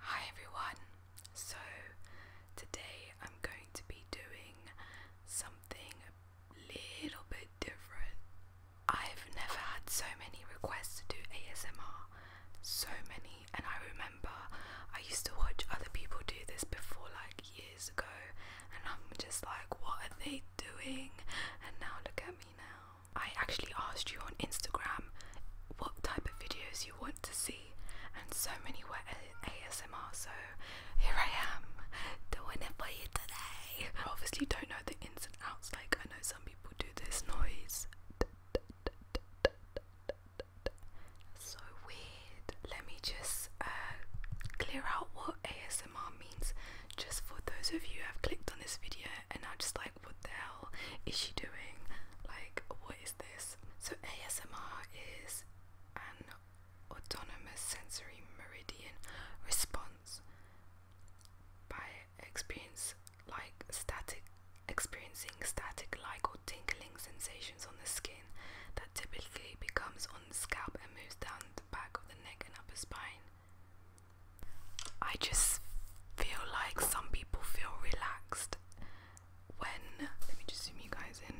Hi everyone. So today I'm going to be doing something a little bit different. I've never had so many requests to do ASMR. So many and I remember I used to watch other people do this before like years ago and I'm just like what are they doing? And now look at me now. I actually asked you on Instagram what type of videos you want to see and so many were ASMR. So here I am doing it for you today. I obviously don't know the ins and outs. Like I know some people do this noise. So weird. Let me just uh, clear out what ASMR means, just for those of you who have clicked on this video and are just like what the hell is she doing? Like, what is this? So, ASMR is an autonomous sensory meridian response by experience like static experiencing static like or tingling sensations on the skin that typically becomes on the scalp and moves down the back of the neck and upper spine. I just feel like some people feel relaxed when let me just zoom you guys in.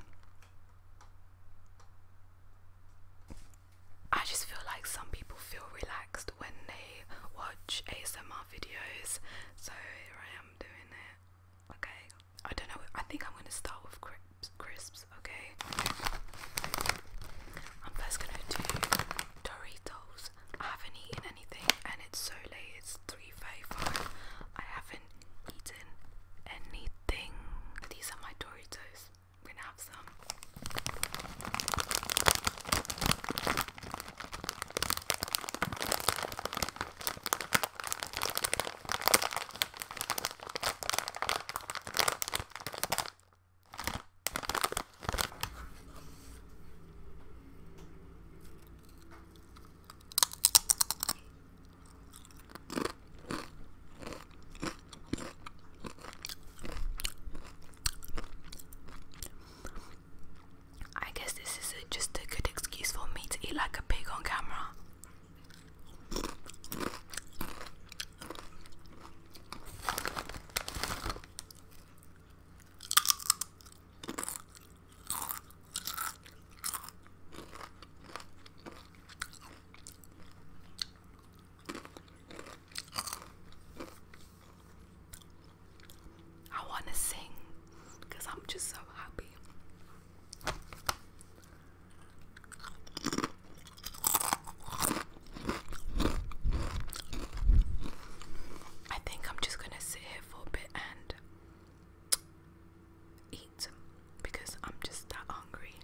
I just feel like some people feel relaxed when they watch ASMR videos, so here I am doing it. Okay, I don't know. I think I'm gonna start with crisps. crisps okay, I'm first gonna do Doritos. I haven't eaten anything and it's so late, it's 3.35. I haven't eaten anything. These are my Doritos. I'm gonna have some. I guess this is just a good excuse for me to eat like a pig on camera. I want to sing because I'm just so happy. I think I'm just gonna sit for bit and eat because I'm just that hungry.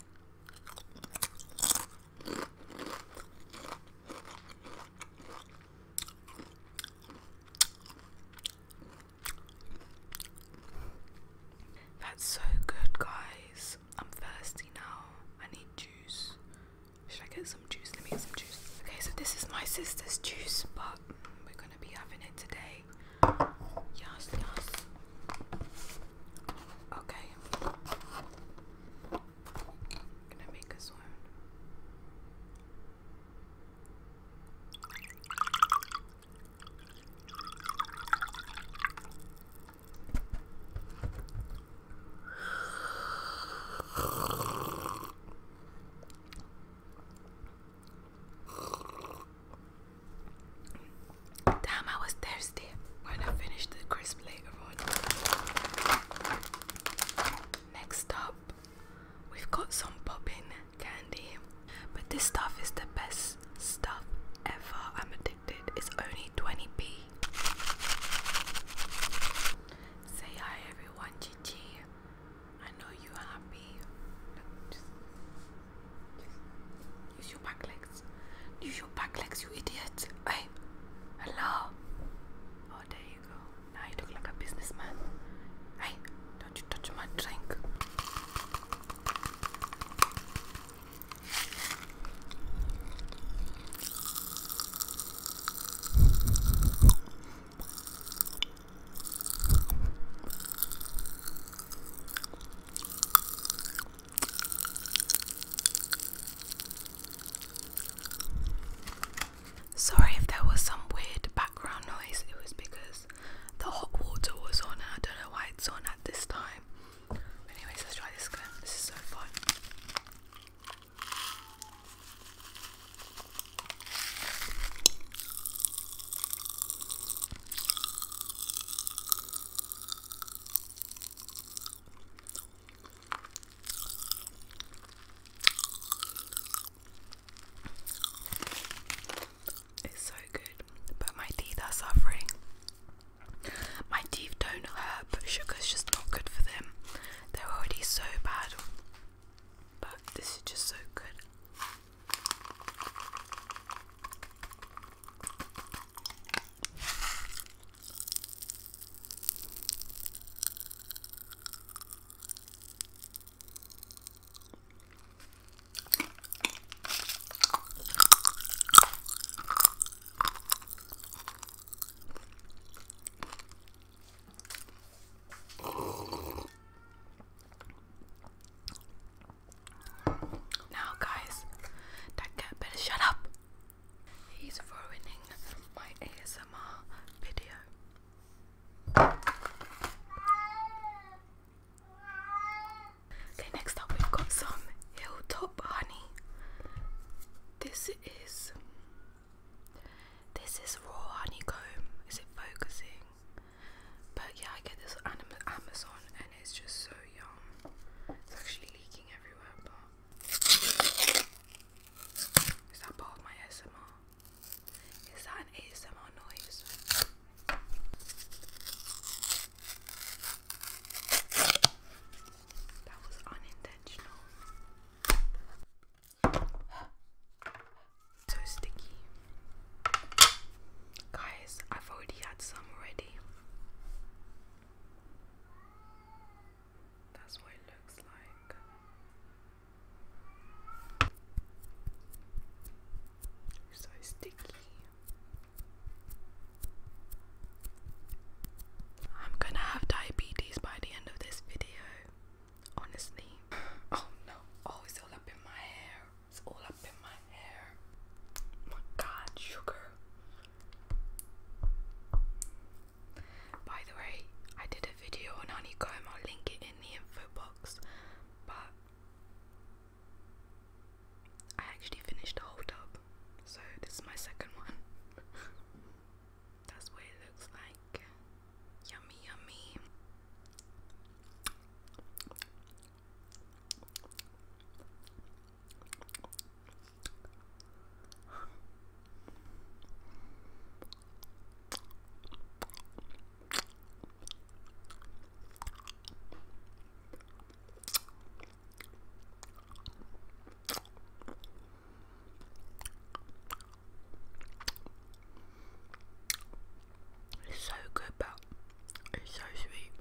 That's so good, guys. I'm thirsty now. I need juice. Should I get some juice? Let me get some juice. Okay, so this is my sister's juice, but we're gonna be having it today. Yes, yes. Okay. gonna make us one. Damn, I was thirsty when I finished the crisp later on. Next up, we've got some popping candy, but this stuff is the best stuff ever. I'm addicted. It's only 20p. Say hi, everyone. Chichi. I know you're happy. just, just use your back legs. Use your back legs, you idiot. Hey, hello. Oh, there you go. Now you look like a businessman. Hey, don't you touch my drink. Sorry if there was some weird background noise, it was because the hot water was on and I don't know why it's on at this time. Anyways, let's try this again. This is so fun. It's so good, but my teeth are suffering. My teeth don't hurt, but sugar's just not good for them. They're already so bad. But this is just so good. Now, guys, that cat better shut up. He's ruining my ASMR video. Okay, next up, we've got some Hilltop Honey. This is this is raw honeycomb. Is it focusing? But yeah, I get this Amazon and it's just so yum. It's actually leaking everywhere, but. Is that part of my ASMR? Is that an ASMR noise? That was unintentional. So sticky. Guys, I've already had some already. That's what it looks like. So sticky. I'm gonna have diabetes by the end of this video honestly. Oh no, oh, it's all up in my hair. It's all up in my hair. my god, sugar. By the way, I did a video on honeycomb, I'll link it in the info box. But I actually finished the whole tub, so this is my second one. That's what it looks like. Yummy, yummy. It's so good, but it's so sweet.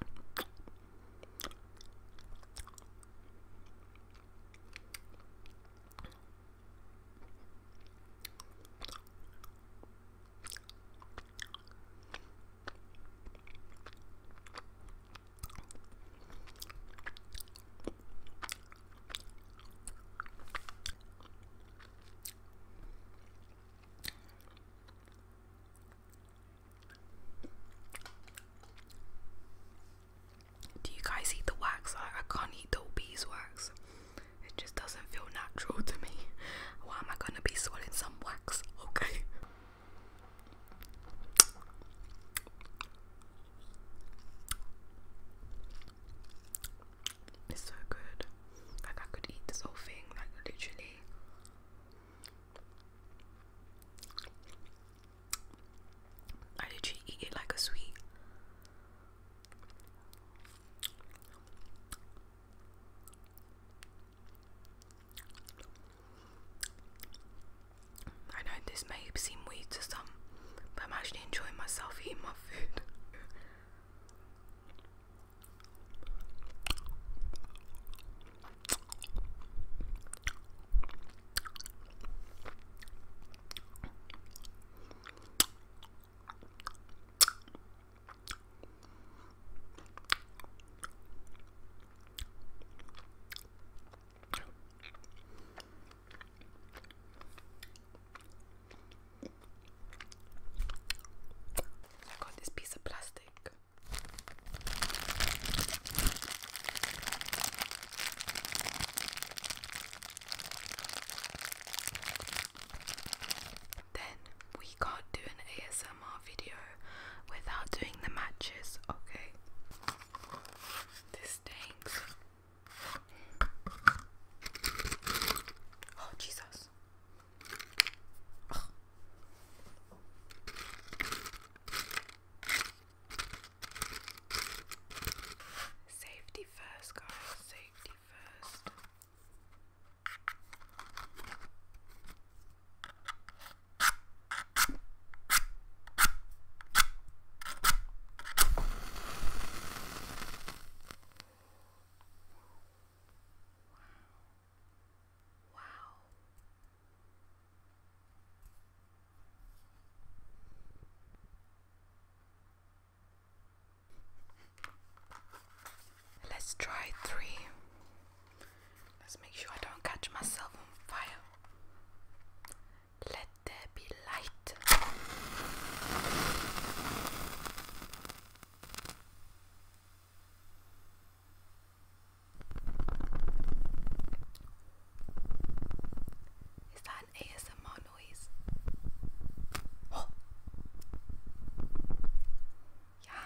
Do you guys eat the wax? I, I can't eat the beeswax. It just doesn't feel natural to me. Why am I gonna be swallowing some wax? Okay. It's so good. Like I could eat this whole thing, like literally. I literally eat it like a sweet. I know this may seem weird to some, but I'm actually enjoying myself eating my food. I got this piece of plastic. Then we can't do an ASMR video without doing the matches, okay? This stinks. Oh, Jesus. Safety first, guys. Safety first. Let's try three. Let's make sure I don't catch myself on fire. Let there be light. Is that an ASMR noise? Oh. Yeah.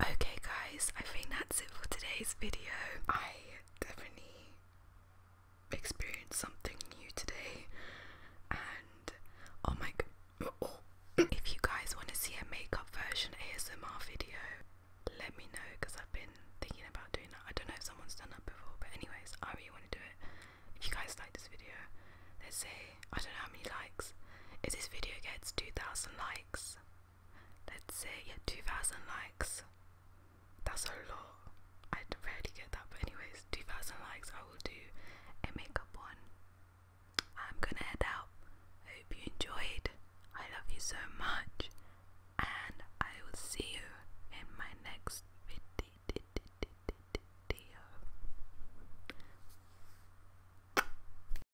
Okay, guys, I think that's it for today's video. I definitely experienced something new today, and oh my god. Oh, if you guys want to see a makeup version ASMR video, let me know because I've been thinking about doing that. I don't know if someone's done that before, but anyways, I really want to do it. If you guys like this video, let's see. I don't know how many likes. If this video gets 2,000 likes, let's say yeah 2000 likes that's a lot i rarely get that but anyways 2000 likes i will do a makeup one i'm gonna head out i hope you enjoyed i love you so much and i will see you in my next video